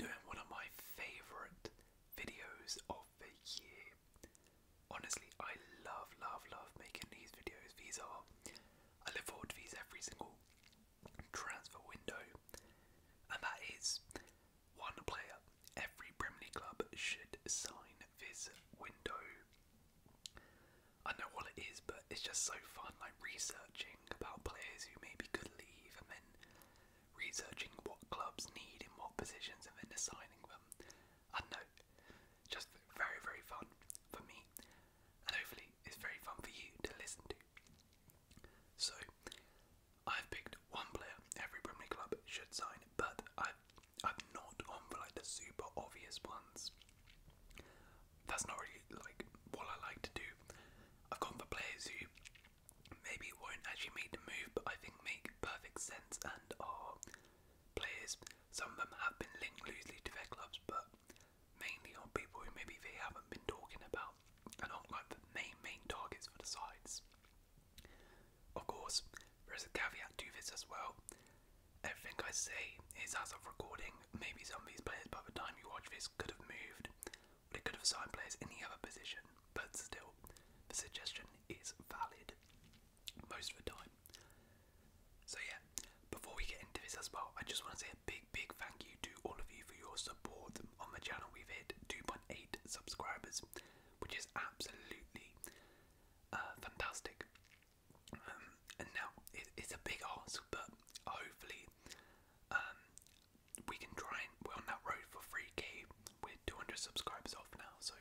doing one of my favourite videos of the year. Honestly, I love, love, love making these videos. These are, I look forward to these every single transfer window, and that is one player every Premier League club should sign this window. I know what it is, but it's just so fun, like researching about players who maybe could leave and then researching what clubs need in what positions and then assigning them. I know, just very, very fun for me, and hopefully it's very fun for you to listen to. So, I've picked one player every Brimley club should sign, but I've, I've not on for like the super obvious ones. That's not really like what I like to do. I've gone for players who maybe won't actually make the move, but I think make perfect sense and are players. Some of them have been linked loosely to their clubs, but mainly on people who maybe they haven't been talking about and aren't like the main main targets for the sides. Of course, there is a caveat to this as well. Everything I say is as of recording. Maybe some of these players by the time you watch this could have moved they could have signed players in the other position, but still, the suggestion is valid most of the time. So, yeah, before we get into this as well, I just want to say a big, big thank you to all of you for your support on the channel. We've hit 2.8 subscribers, which is absolutely uh, fantastic. Um, and now it's a big ask, but hopefully, um, we can try and we're on that road for free k We're 200 subscribers off now, so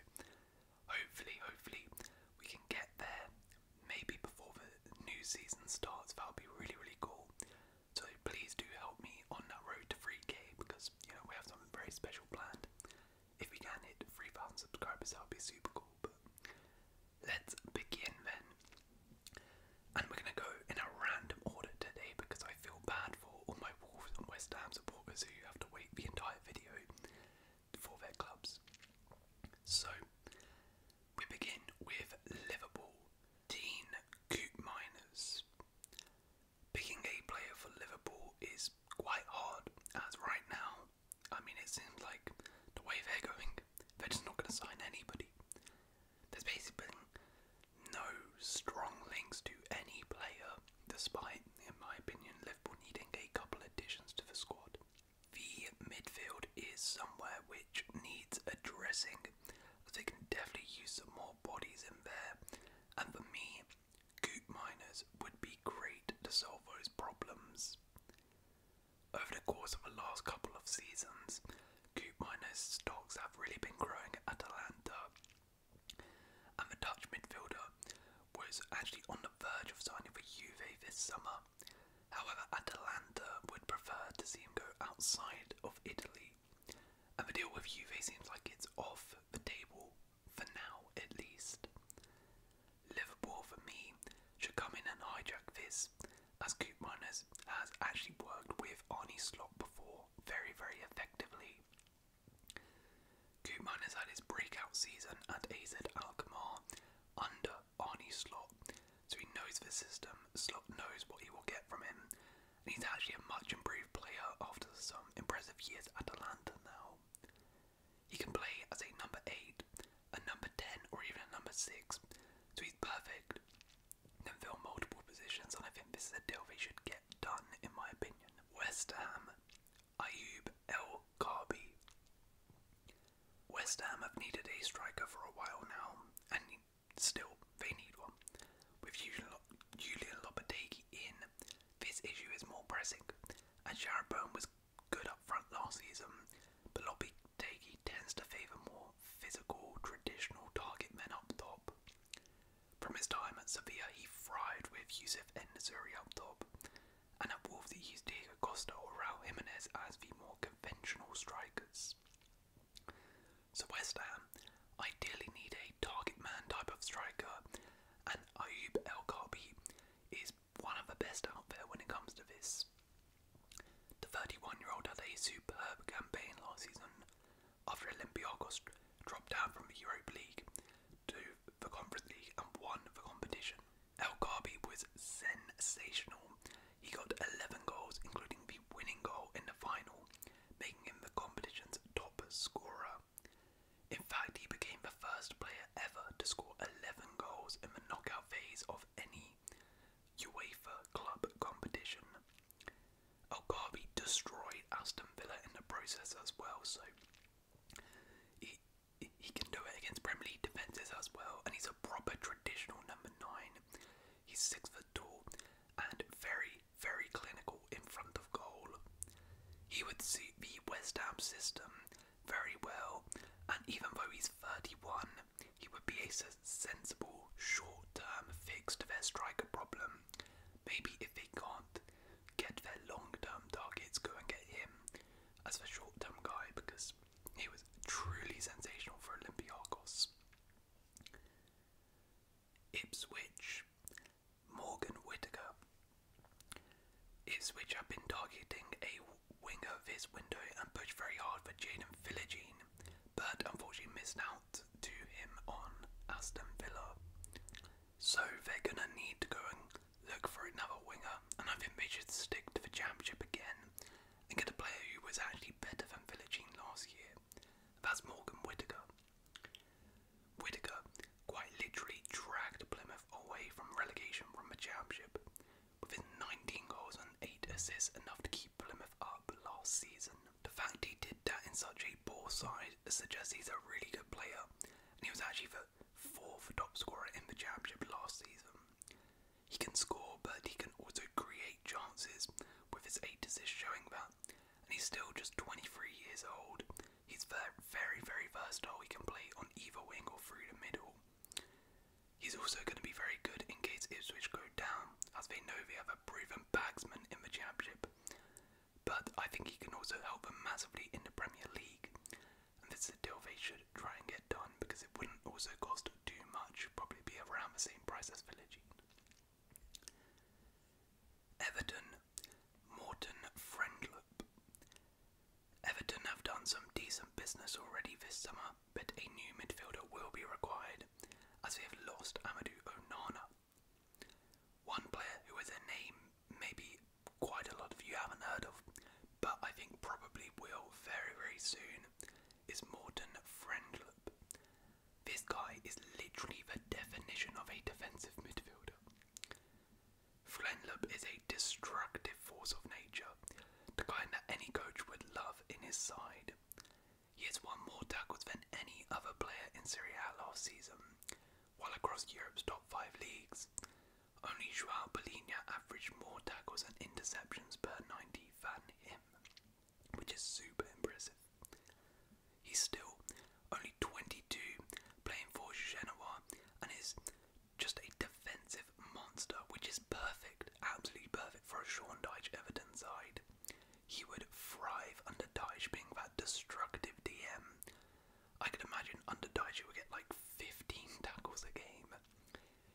hopefully, hopefully, we can get there maybe before the new season starts. That would be really, really cool. So please do help me on that road to free k because you know we have something very special planned. If we can hit 3,000 subscribers, that would be super cool. But let's begin then. And we're going to go in a random order today because I feel bad for all my Wolves and West Ham supporters who have to wait the entire video for their clubs. So, we begin with Liverpool. Dean Koopmeiners. Picking a player for Liverpool is quite hard, as right now, I mean, it seems like the way they're going, they're just not going to sign anybody. There's basically no strong links to any player, despite, in my opinion, Liverpool needing a couple additions to the squad. The midfield is somewhere which needs addressing. They can definitely use some more bodies in there, and for me, Goop Miners would be great to solve those problems. Over the course of the last couple of seasons, Coop miners' stocks have really been growing at Atalanta, and the Dutch midfielder was actually on the verge of signing for Juve this summer. However, Atalanta would prefer to see him go outside of Italy, and the deal with Juve seems like it's off the table for now, at least. Liverpool, for me, should come in and hijack this as Koopmeiners has actually worked with Arnie Slot before very, very effectively. Koopman has had his breakout season at AZ Alkmaar under Arnie Slot, so he knows the system, Slot knows what he will get from him, and he's actually a much improved player after some impressive years at Atlanta now. He can play as a number 8, a number 10, or even a number 6, so he's perfect can fill multiple positions, and I think this is a deal they should get done, in my opinion. West Ham, Ayub El Karbi. West Ham have needed a striker for a while now, and still they need one. With Julian Lopetegui in, this issue is more pressing. And Jared was good up front last season, but Lopetegui tends to favour more physical, traditional target men up top. From his time at Sevilla, he thrived with Yusuf Enzuri up top, and at Wolves, he used Diego Costa or Raul Jimenez as the more conventional strikers. So, West Ham ideally need a target man type of striker, and Ayub El Khabi is one of the best out there when it comes to this. The 31 year old had a superb campaign last season after Olympiacos dropped down from the Europa League to the Conference League and won the competition. El Ghabi was sensational. He got 11 goals, including the winning goal in the final, making him the competition's top scorer. In fact, he became the first player ever to score 11 goals in the knockout phase of any UEFA club competition. Algarve destroyed Aston Villa in the process as well, so he, he can do it against Premier League defences as well, and he's a proper traditional number nine. He's six foot tall and very, very clinical in front of goal. He would suit the West Ham system very well, and even though he's 31, he would be a sensible short-term fix to their striker problem. Maybe if they can't get their long-term targets, go and get him as a short-term guy because he was truly sensational for Olympiacos. Ipswich, Morgan Whitaker. Ipswich have been targeting a winger this window and pushed very hard for Jaden Philogene, but unfortunately missed out to him on Aston Villa. So they're going to need to go and look for another winger, and I think they should stick to the championship again and get a player who was actually better than Villagine last year. That's Morgan Whitaker. Whitaker quite literally dragged Plymouth away from relegation from the championship, with 19 goals and 8 assists, enough to keep Plymouth up last season. The fact he did that in such a poor side suggests he's a really good player, and he was actually the fourth top scorer in the championship last season. He can score, but he can also create chances, with his eight assists showing that. And he's still just 23 years old. He's very, very versatile. He can play on either wing or through the middle. He's also going to be very good in case Ipswich go down as they know they have a proven bagsman in the Championship. But I think he can also help them massively in the Premier League. And this is a deal they should try and get done because it wouldn't also cost too much, probably be around the same price as Village. Everton, Morton Friendlip. Everton have done some decent business already this summer, but a new midfielder will be required as we have lost Amadou Onana. One player who is a name maybe quite a lot of you haven't heard of, but I think probably will very, very soon, is Morten Friendlup. This guy is literally the definition of a defensive midfielder. Friendlup is a destructive force of nature, the kind that any coach would love in his side. He has won more tackles than any other player in Syria A last season, while across Europe's top five leagues, only Joao Polina averaged more tackles and interceptions per 90 than him, which is super impressive. He's still only 22, playing for Genoa, and is just a defensive monster, which is perfect, absolutely perfect for a Sean Dyche Everton side. He would thrive under Daesh being that destructive DM. I could imagine under Daesh he would get like 15 tackles a game.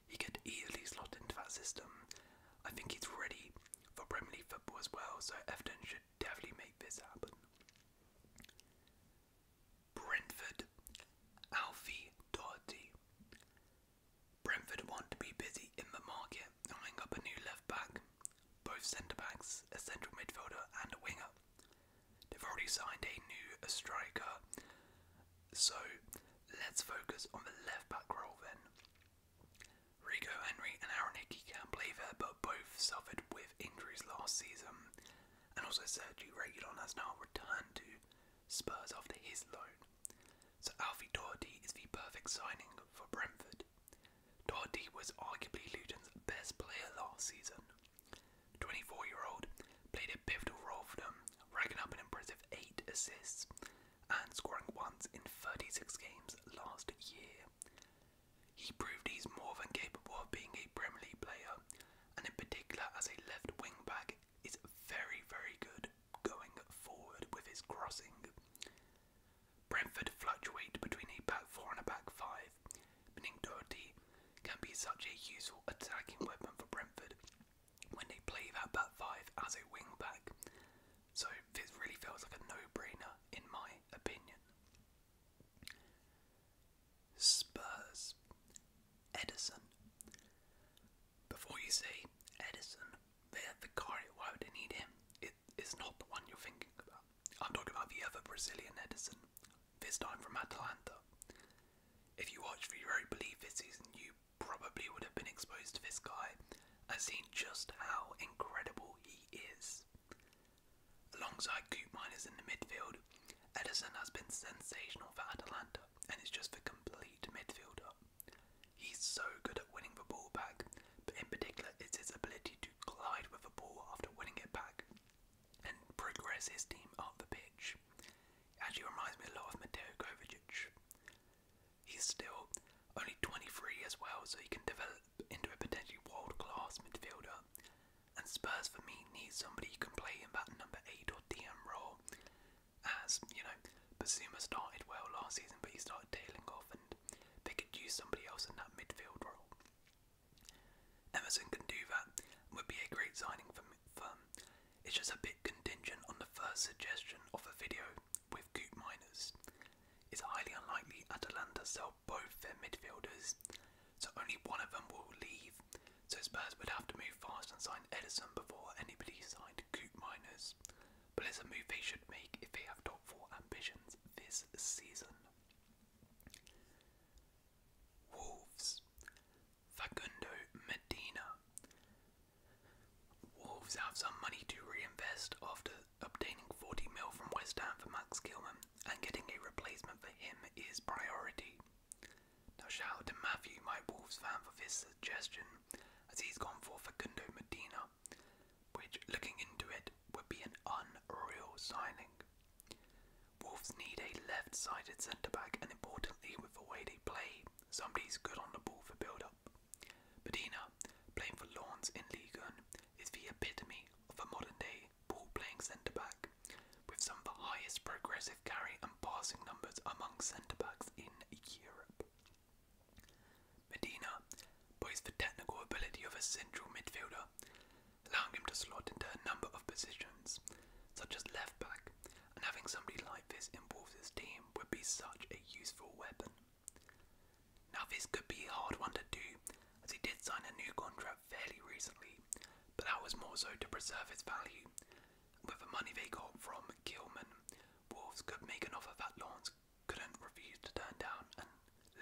He could easily slot into that system. I think he's ready for Premier League football as well, so Everton should definitely make this happen. Brentford, Alfie Doherty. Brentford want to be busy in the market, eyeing up a new left back, both centre backs, a central midfielder, and a winger. They've already signed a new striker, so let's focus on the left back role then. Rico Henry and Aaron Hickey can not play there, but both suffered with injuries last season. And also Sergio Regulon has now returned to Spurs after his loan so Alfie Doherty is the perfect signing for Brentford. Doherty was arguably Luton's best player last season. 24 year old played a pivotal role for them, racking up an impressive 8 assists and scoring once in 36 games last year. He proved he's more than capable of being a Premier League player, and in particular as a left wing back is very, very good going forward with his crossing. Brentford fluctuate between a back four and a back five, meaning Doherty can be such a useful attacking weapon for Brentford when they play that back five as a wing back. So this really feels like a no-brainer in my opinion. Spurs. Edison. Before you say Edison, they the guy. Why would they need him? It is not the one you're thinking about. I'm talking about the other Brazilian Edison, this time from Atalanta. If you watch the Europa League this season, you probably would have been exposed to this guy I've seen just how incredible he is. Alongside Coop Miners in the midfield, Edison has been sensational for Atalanta and is just the complete midfielder. He's so good at winning the ball back, but in particular, it's his ability to glide with the ball after winning it back and progress his team up the pitch. actually reminds me a lot of Mateo Kovacic. He's still only 23 as well, so he can develop into a potentially world class midfielder. And Spurs, for me, need somebody who can play in that number 8 or DM role as, you know, Basuma started well last season, but he started tailing off and they could use somebody else in that midfield role. Emerson can do that, would be a great signing for firm. It's just a bit contingent on the first suggestion of a video with Goop Miners. It's highly unlikely Atalanta sell both their midfielders, so only one of them will leave, so Spurs would have to move fast and sign Edison before anybody signed Goop Miners but it's a move they should make if they have top four ambitions this season. Wolves. Facundo Medina. Wolves have some money to reinvest after obtaining 40 mil from West Ham for Max Gilman, and getting a replacement for him is priority. Now shout to Matthew, my Wolves fan, for this suggestion, as he's gone for Facundo Medina which, looking into it, would be an unreal signing. Wolves need a left sided centre back, and importantly, with the way they play, somebody's good on the ball for build up. Medina, playing for Lawns in Ligue 1, is the epitome of a modern day ball playing centre back, with some of the highest progressive carry and passing numbers among centre backs in Europe. Medina poised the technical ability of a central midfielder, allowing him to slot into a number of positions, such as left back, and having somebody like this in Wolves' team would be such a useful weapon. Now, this could be a hard one to do, as he did sign a new contract fairly recently, but that was more so to preserve its value. With the money they got from Kilman, Wolves could make an offer that Lawrence couldn't refuse to turn down and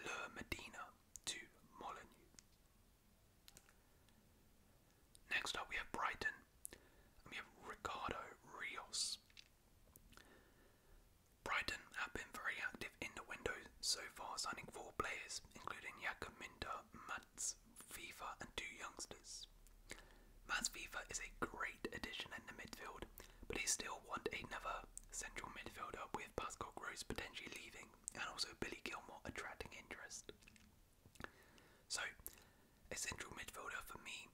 lure Medina to Molineux. Next up, we have Brighton, we have Ricardo Rios. Brighton have been very active in the window so far, signing four players, including Jakob Minter, Mats Fifa, and two youngsters. Mats Viva is a great addition in the midfield, but they still want another central midfielder with Pascal Gross potentially leaving and also Billy Gilmore attracting interest. So, a central midfielder for me,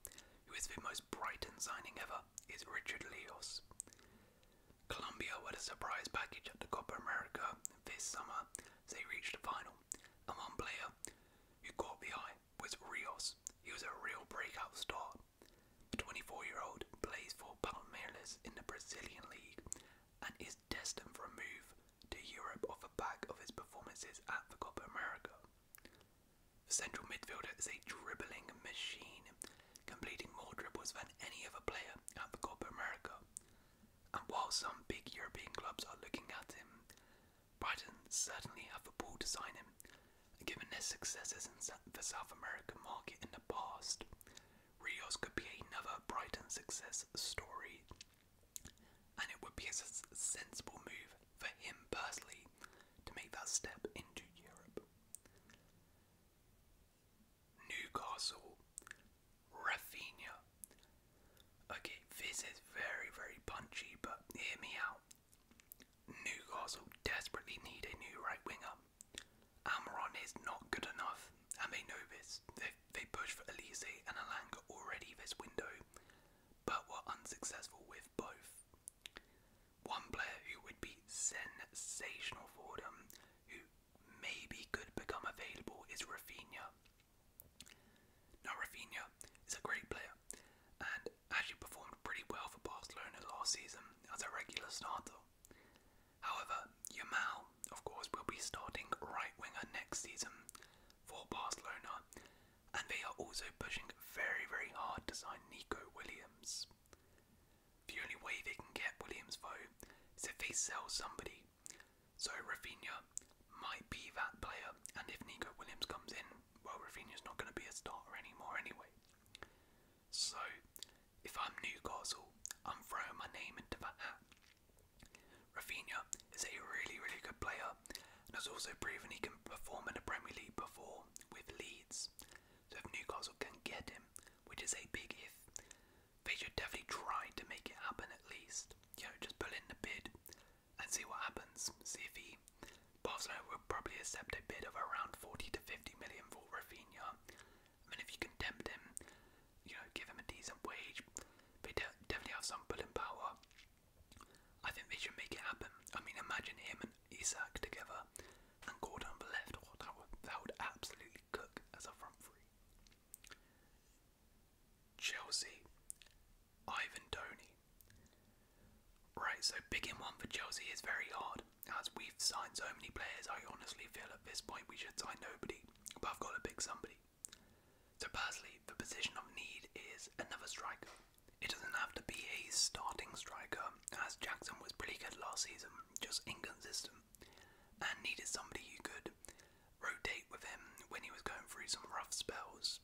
who is the most bright and signing ever, is Richard Leos. Colombia were a surprise package at the Copa America this summer as they reached the final, and one player who caught the eye was Rios. He was a real breakout star. The 24 year old plays for Palmeiras in the Brazilian League and is destined for a move to Europe off the back of his performances at the Copa America. The central midfielder is a dribbling machine, completing more dribbles than any other player at the Copa America. And while some big European clubs are looking at him, Brighton certainly have the ball to sign him, given their successes in the South American market in the past. Rios could be another Brighton success story, and it would be a sensible move for him personally to make that step into Europe. Newcastle, Rafinha. Okay, this is very, very punchy, but hear me out. Newcastle desperately need a new right winger. Amaron is not good enough, and they know this. They, they pushed for Elise and Alanga already this window, but were unsuccessful with both. One player who would be sensational for them, who maybe could become available, is Rafinha. Now, Rafinha is a great player, and as actually performed pretty well for Barcelona last season as a regular starter. However, Yamal, of course, will be starting right winger next season for Barcelona, and they are also pushing very, very hard to sign Nico Williams. The only way they can get Williams, though, is if they sell somebody. So Rafinha might be that player, and if Nico Williams comes in, well, Rafinha's not going to be a starter anymore anyway. So, if I'm Newcastle, I'm throwing my name into the hat. Rafinha is a really, really good player and has also proven he can perform in the Premier League before with Leeds. So, if Newcastle can get him, which is a big if, they should definitely try to make it happen at least. You know, just pull in the bid, and see what happens. See if he. Barcelona will probably accept a bid of around 40 to 50 million for Rafinha. I mean, if you can tempt him, you know, give him a decent wage, they definitely have some pulling power. I think they should make it happen. I mean, imagine him and Isak together and Gordon on the left. Oh, that would, that would absolutely cook as a front three. Chelsea, Ivan Tony. Right, so picking one for Chelsea is very hard. As we've signed so many players, I honestly feel at this point we should sign nobody, but I've got to pick somebody. So personally, the position of need is another striker. It doesn't have to be a starting striker, as Jackson was pretty good last season, just inconsistent, and needed somebody who could rotate with him when he was going through some rough spells,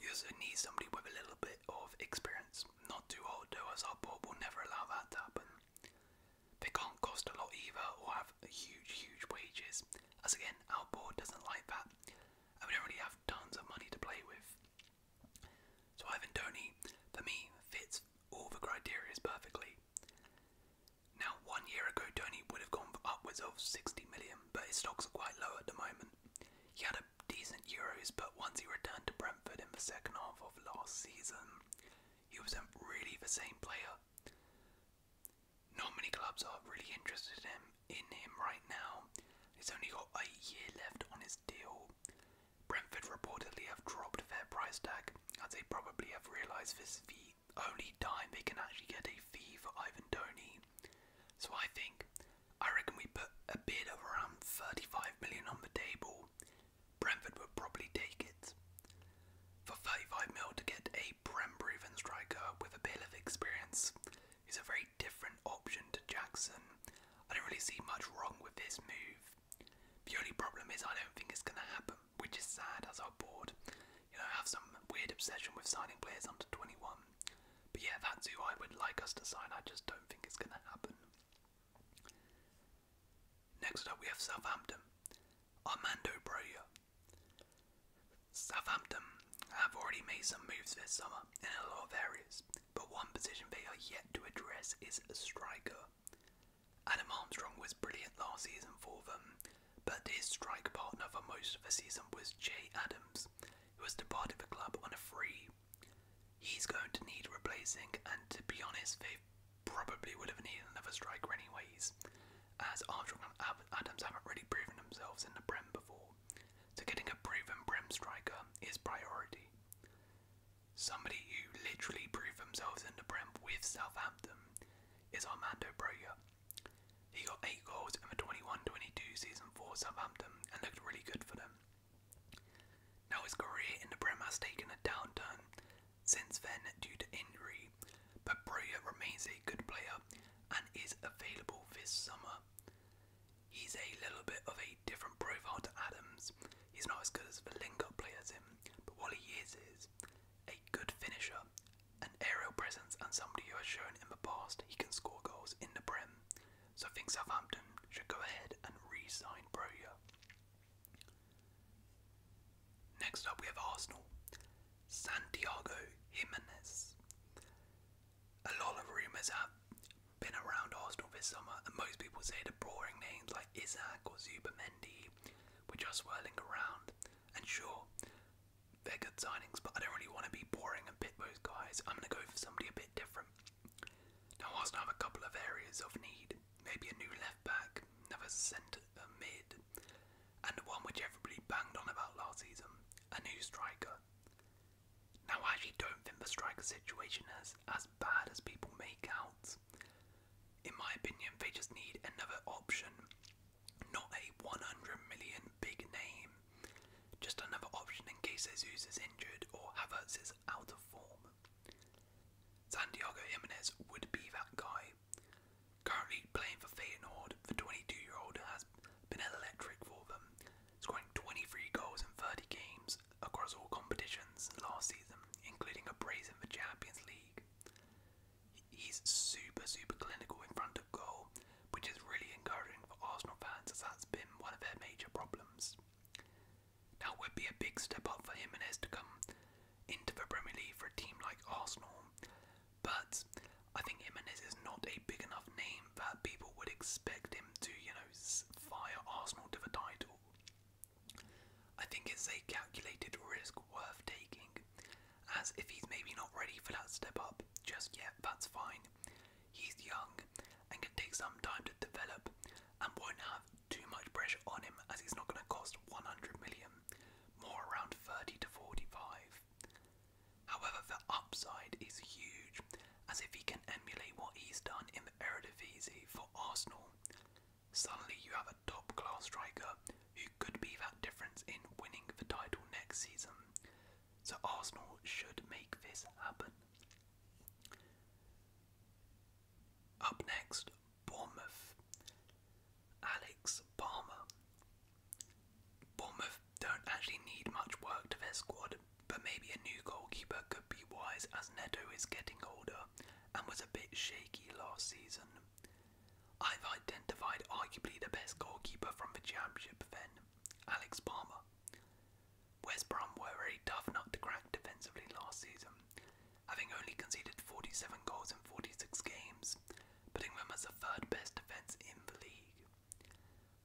we also need somebody with a little bit of experience, not too old though, as our board will never allow that to happen. They can't cost a lot either or have huge, huge wages, as again, our board doesn't like that, and we don't really have tons of money to play with. So Ivan Tony, for me, fits all the criteria perfectly. Now, one year ago, Tony would have gone upwards of 60 million, but his stocks are quite low at the moment. He had a decent Euros, but once he returned to Brentford in the second half of last season, he wasn't really the same player. Not many clubs are really interested in him, right now. He's only got a year left on his deal. Brentford reportedly have dropped their price tag, as they probably have realised this is the only time they can actually get a fee for Ivan Tony. So I think, I reckon we put a bid of around 35 million on the table. Brentford would probably take it. For 35 mil to get a Brem Breven striker with a bit of experience is a very different option to Jackson. I don't really see much wrong with this move. The only problem is I don't think it's going to happen, which is sad as I'm bored. you know, have some weird obsession with signing players under 21 but yeah, that's who I would like us to sign. I just don't think it's going to happen. Next up, we have Southampton. Armando Broya. Southampton have already made some moves this summer in a lot of areas, but one position they are yet to address is a striker. Adam Armstrong was brilliant last season for them, but his strike partner for most of the season was Jay Adams, who was departed the club on a free He's going to need replacing, and to be honest, they probably would have needed another striker anyways, as Armstrong and Adams haven't really proven themselves in the Prem before. So getting a proven Prem striker is priority. Somebody who literally proved themselves in the Prem with Southampton is Armando Broja. He got 8 goals in the 21-22 season for Southampton and looked really good for them. Now his career in the Prem has taken a downturn since then due to injury, but Breuer remains a good player and is available this summer. He's a little bit of a different profile to Adams. He's not as good as the link-up players in, but what he is is a good finisher, an aerial presence, and somebody who has shown in the past he can score goals in the Prem. So I think Southampton should go ahead and re-sign Broya. Next up we have Arsenal. Santiago Jimenez. A lot of rumours have been around Arsenal this summer, and most people say the boring names like Isaac or Zubermendi were just swirling around. And sure, they're good signings, but I don't really want to be boring and pit those guys. I'm going to go for somebody a bit different. Now Arsenal have a couple of areas of need, maybe a new left back, another centre mid, and the one which everybody banged on about last season, a new striker. Now I actually don't think the striker situation is as bad as people make out. In my opinion, they just need another option, not a 100 million big name just another option in case Jesus is injured or Havertz is out of form. Santiago Jimenez would be that guy. Currently playing for Feyenoord, the 22 year old has been electric for them, scoring 23 goals in 30 games across all competitions last season, including a brace in the Champions League. He's super, super clinical in front of goal which is really encouraging for Arsenal fans as that's been one of their major problems. Now would be a big step up for Jimenez to come into the Premier League for a team like Arsenal, but I think Jimenez is not a big enough name that people would expect him to, you know, fire Arsenal to the title. I think it's a calculated risk worth taking, as if he's maybe not ready for that step up just yet, that's fine. He's young and can take some time to develop and won't have too much pressure on him as he's not going to cost 100 million, more around 30 to 45. However, the upside is huge as if he can emulate what he's done in the Eredivisie for Arsenal. Suddenly you have a top class striker who could be that difference in winning the title next season. So Arsenal should make this happen. Up next, Bournemouth. Alex Palmer. Bournemouth don't actually need much work to their squad, but maybe a new goalkeeper could be wise as Neto is getting older and was a bit shaky last season. I've identified arguably the best goalkeeper from the championship then, Alex Palmer. West Brom were very tough nut to crack defensively last season, having only conceded 47 goals in 46 games, putting them as the third best defence in the league.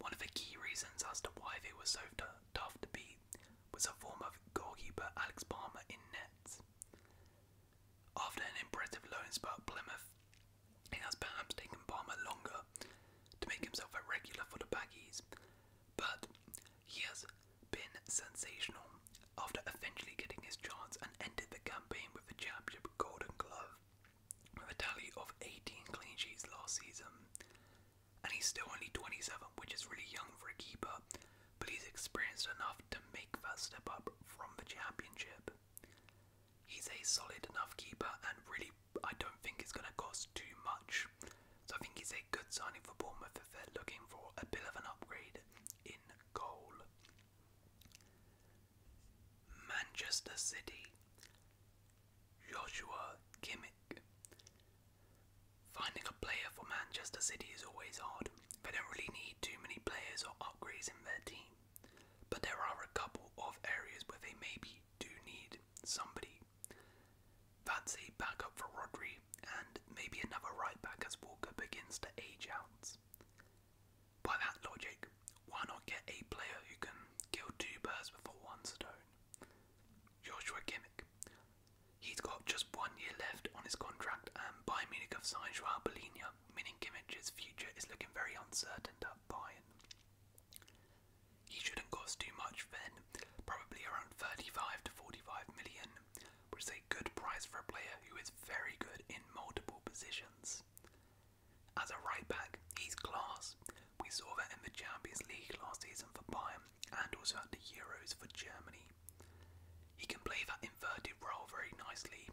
One of the key reasons as to why they were so tough to beat was a form of goalkeeper Alex Palmer in nets. After an impressive loan spurt at Plymouth, it has perhaps taken Palmer longer to make himself a regular for the Baggies, but he has been sensational after eventually getting his chance and ended the campaign with the championship golden glove with a tally of 18 clean sheets last season. And he's still only 27, which is really young for a keeper, but he's experienced enough to make that step up from the championship. He's a solid enough keeper and really I don't think it's going to cost too much. So I think it's a good signing for Bournemouth if they're looking for a bit of an upgrade in goal. Manchester City, Joshua Kimmich. Finding a player for Manchester City is always hard. They don't really need too many players or upgrades in their team. But there are a couple of areas where they maybe do need somebody Fancy backup for Rodri and maybe another right back as Walker begins to age out. By that logic, why not get a player who can kill two birds before one stone? Joshua Kimmich. He's got just one year left on his contract, and Bayern Munich have signed Joao Bolinia, meaning Kimmich's future is looking very uncertain at Bayern. He shouldn't cost too much then, probably around 35 to 45 million, which is a good price for a player who is very good in multiple positions. As a right back, he's class. We saw that in the Champions League last season for Bayern and also at the Euros for Germany. He can play that inverted role very nicely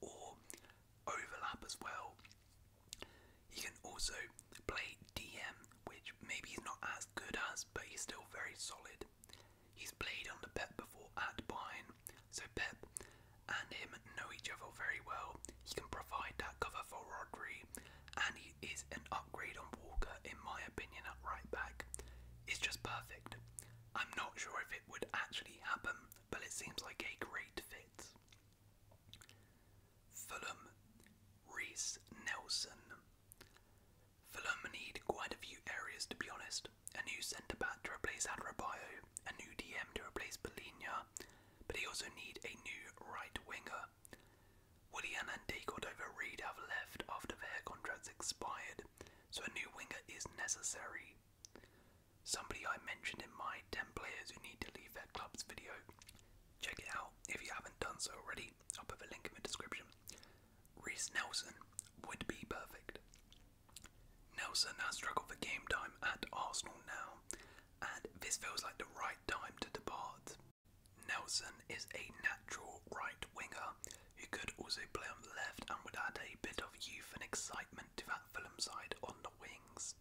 or overlap as well. He can also play DM, which maybe he's not as good as, but he's still very solid. He's played under Pep before at Bayern, so Pep and him know each other very well. He can provide that cover for Rodri, and he is an upgrade on Walker, in my opinion, at right back. It's just perfect. I'm not sure if it would actually happen, but it seems like a great fit. Fulham, Reese Nelson. Fulham need quite a few areas to be honest. A new centre back to replace Adrobio, a new DM to replace Polina, but he also need a new right winger. Willian and Dagodover have left after their contracts expired, so a new winger is necessary. Somebody I mentioned in my 10 players who need to leave their club's video Check it out if you haven't done so already. I'll put a link in the description. Reese Nelson would be perfect. Nelson has struggled for game time at Arsenal now, and this feels like the right time to depart. Nelson is a natural right winger who could also play on the left and would add a bit of youth and excitement to that Fulham side on the wings.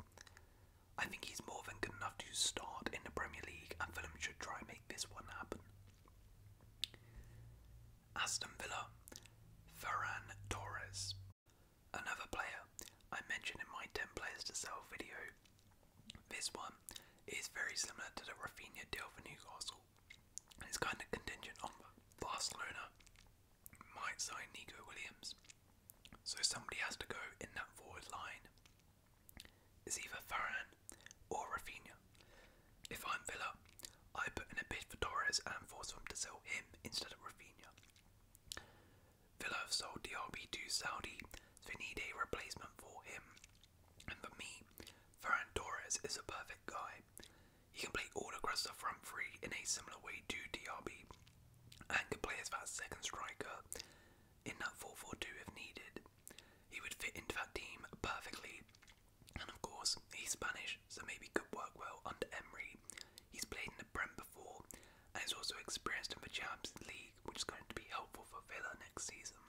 I think he's more than good enough to start in the Premier League, and Fulham should try and make this one happen. Aston Villa, Ferran Torres. Another player I mentioned in my 10 players to sell video. This one is very similar to the Rafinha deal for Newcastle, it's kind of contingent on Barcelona might sign Nico Williams. So somebody has to go in that forward line. It's either Varane or Rafinha. If I'm Villa, I put in a bid for Torres and force them to sell him instead of Rafinha. Villa have sold DRB to Saudi, so we need a replacement for him. And for me, Ferran Torres is a perfect guy. He can play all across the front three in a similar way to DRB, and can play as a second striker, in that 4 if needed. He would fit into that team perfectly. And of course, he's Spanish, so maybe could work well under Emery. He's played in the Prem before, and he's also experienced in the Champions League, which is going to be helpful for Villa next season.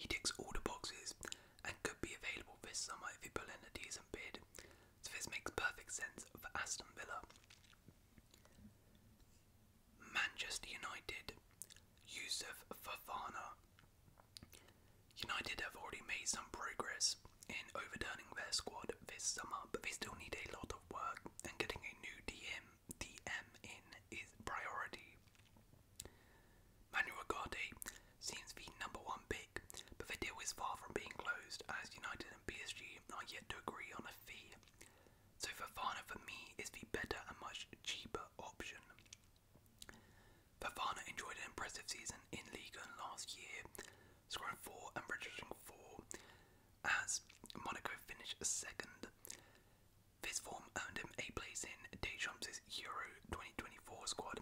He ticks all the boxes and could be available this summer if he pull in a decent bid, so this makes perfect sense for Aston Villa. Manchester United, Yusuf Fafana. United have already made some progress in overturning their squad this summer, but they still need a lot of work, and getting a new DM, DM in is priority. Manuel Agate seems the number one pick, but the deal is far from being closed as United and PSG are yet to agree on a fee. So Fafana for me is the better and much cheaper option. Fafana enjoyed an impressive season in Liga last year, scoring four and registering four as Monaco finished second. his form earned him a place in Deschamps' Euro 2024 squad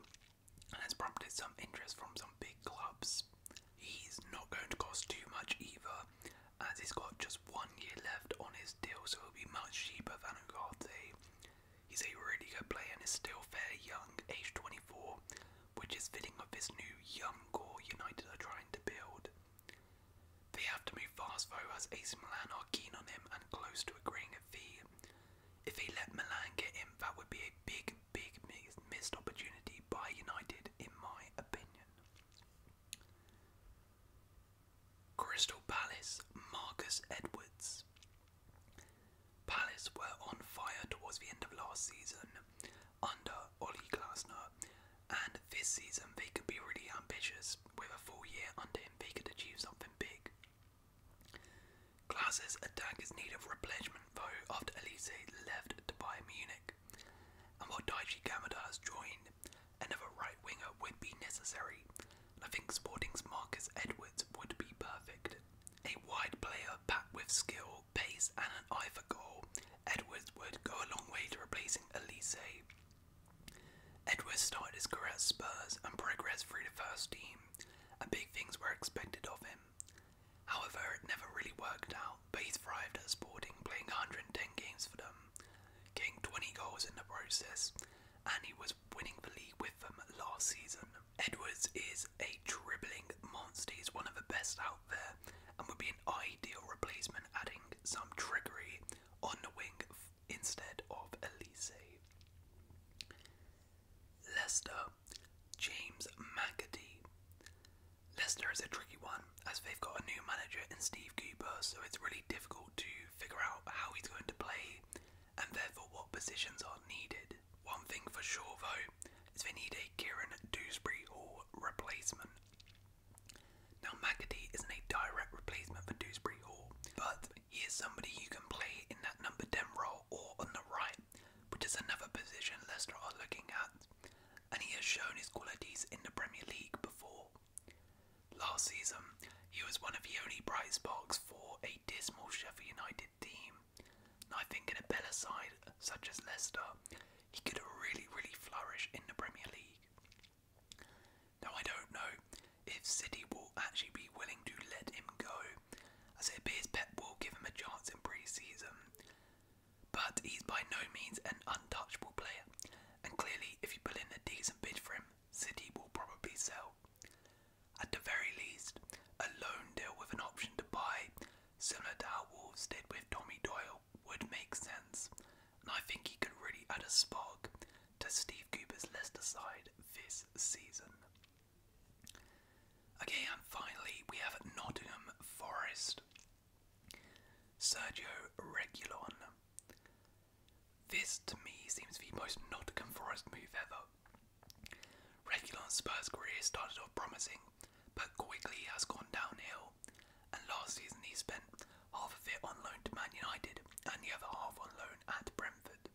and has prompted some interest from some big clubs. He's not going to cost too much either, as he's got just one year left on his deal, so it'll be much cheaper than Ugarte. He's a really good player and he's still very young, age 24, which is fitting of this new young core United are trying to build. They have to move fast though, as AC Milan are keen on him and close to agreeing a fee. If he let Milan get him, that would be a big, big missed opportunity by United, in my opinion. Crystal Palace, Marcus Edwards. Palace were on fire towards the end of last season under Oli Glasner, and this season they could be really ambitious. With a full year under him, they could achieve something big. Glasner's attack is need of replenishment though after Elise left to Bayern Munich. And while Daichi Gamada has joined, another right winger would be necessary, I think Sporting's Marcus Edwards would be perfect. A wide player packed with skill, pace, and an eye for goal, Edwards would go a long way to replacing Elise. Edwards started his career at Spurs and progressed through the first team, and big things were expected of him. However, it never really worked out out, but he thrived at Sporting, playing 110 games for them, getting 20 goals in the process, and he was winning the league with them last season. Edwards is a dribbling monster, he's one of the best out there, and would be an ideal replacement, adding some trickery on the wing instead of Elise. Leicester, James McAtee. Lester is a tricky one as they've got a new manager in Steve Cooper, so it's really difficult to figure out how he's going to play and therefore what positions are needed. One thing for sure though is they need a Kieran Dewsbury Hall replacement. Now McAtee isn't a direct replacement for Dewsbury Hall, but he is somebody who can play in that number 10 role or on the right, which is another position Lester are looking at and he has shown his qualities in the Premier League before. Last season, he was one of the only bright sparks for a dismal Sheffield United team, and I think in a better side such as Leicester, he could really, really flourish in the Premier League. Now, I don't know if City will actually be willing to let him go, as it appears Pep will give him a chance in pre season, but he's by no means an untouchable player, and clearly, if you put in a decent bid for him, City will probably sell. At the very least, a loan deal with an option to buy, similar to our Wolves did with Tommy Doyle, would make sense, and I think he could really add a spark to Steve Cooper's Leicester side this season. Okay, and finally, we have Nottingham Forest. Sergio Regulon. This to me seems the most Nottingham Forest move ever. Regulon's Spurs career started off promising, but quickly has gone downhill, and last season he spent half of it on loan to Man United and the other half on loan at Brentford.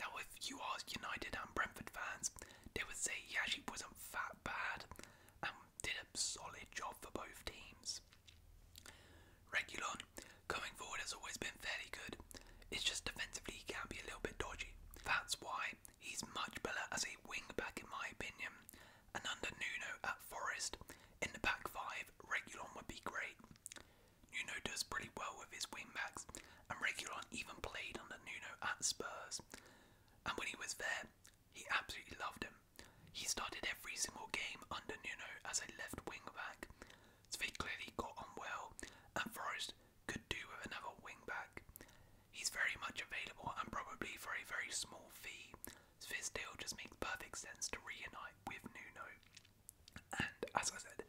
Now, if you ask United and Brentford fans, they would say he actually wasn't that bad did a solid job for both teams. Regulon, coming forward, has always been fairly good. It's just defensively he can be a little bit dodgy. That's why he's much better as a wing back, in my opinion. And under Nuno at Forest, in the back five, Regulon would be great. Nuno does pretty well with his wing backs, and Regulon even played under Nuno at Spurs. And when he was there, he absolutely loved him. He started every single game under Nuno as a left wing back, so they clearly got on well, and Forest could do with another wing back. He's very much available and probably for a very small fee, this deal just makes perfect sense to reunite with Nuno. And as I said,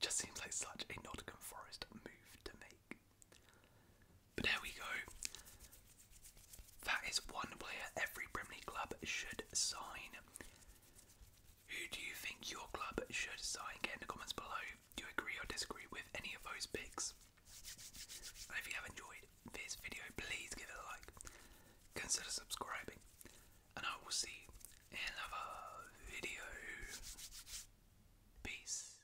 just seems like such a Nottingham Forest move to make. But there we go. That is one player every Premier club should sign. Who do you think your club should sign? Get in the comments below. Do you agree or disagree with any of those picks? if you have enjoyed this video, please give it a like. Consider subscribing. And I will see in another video. Peace.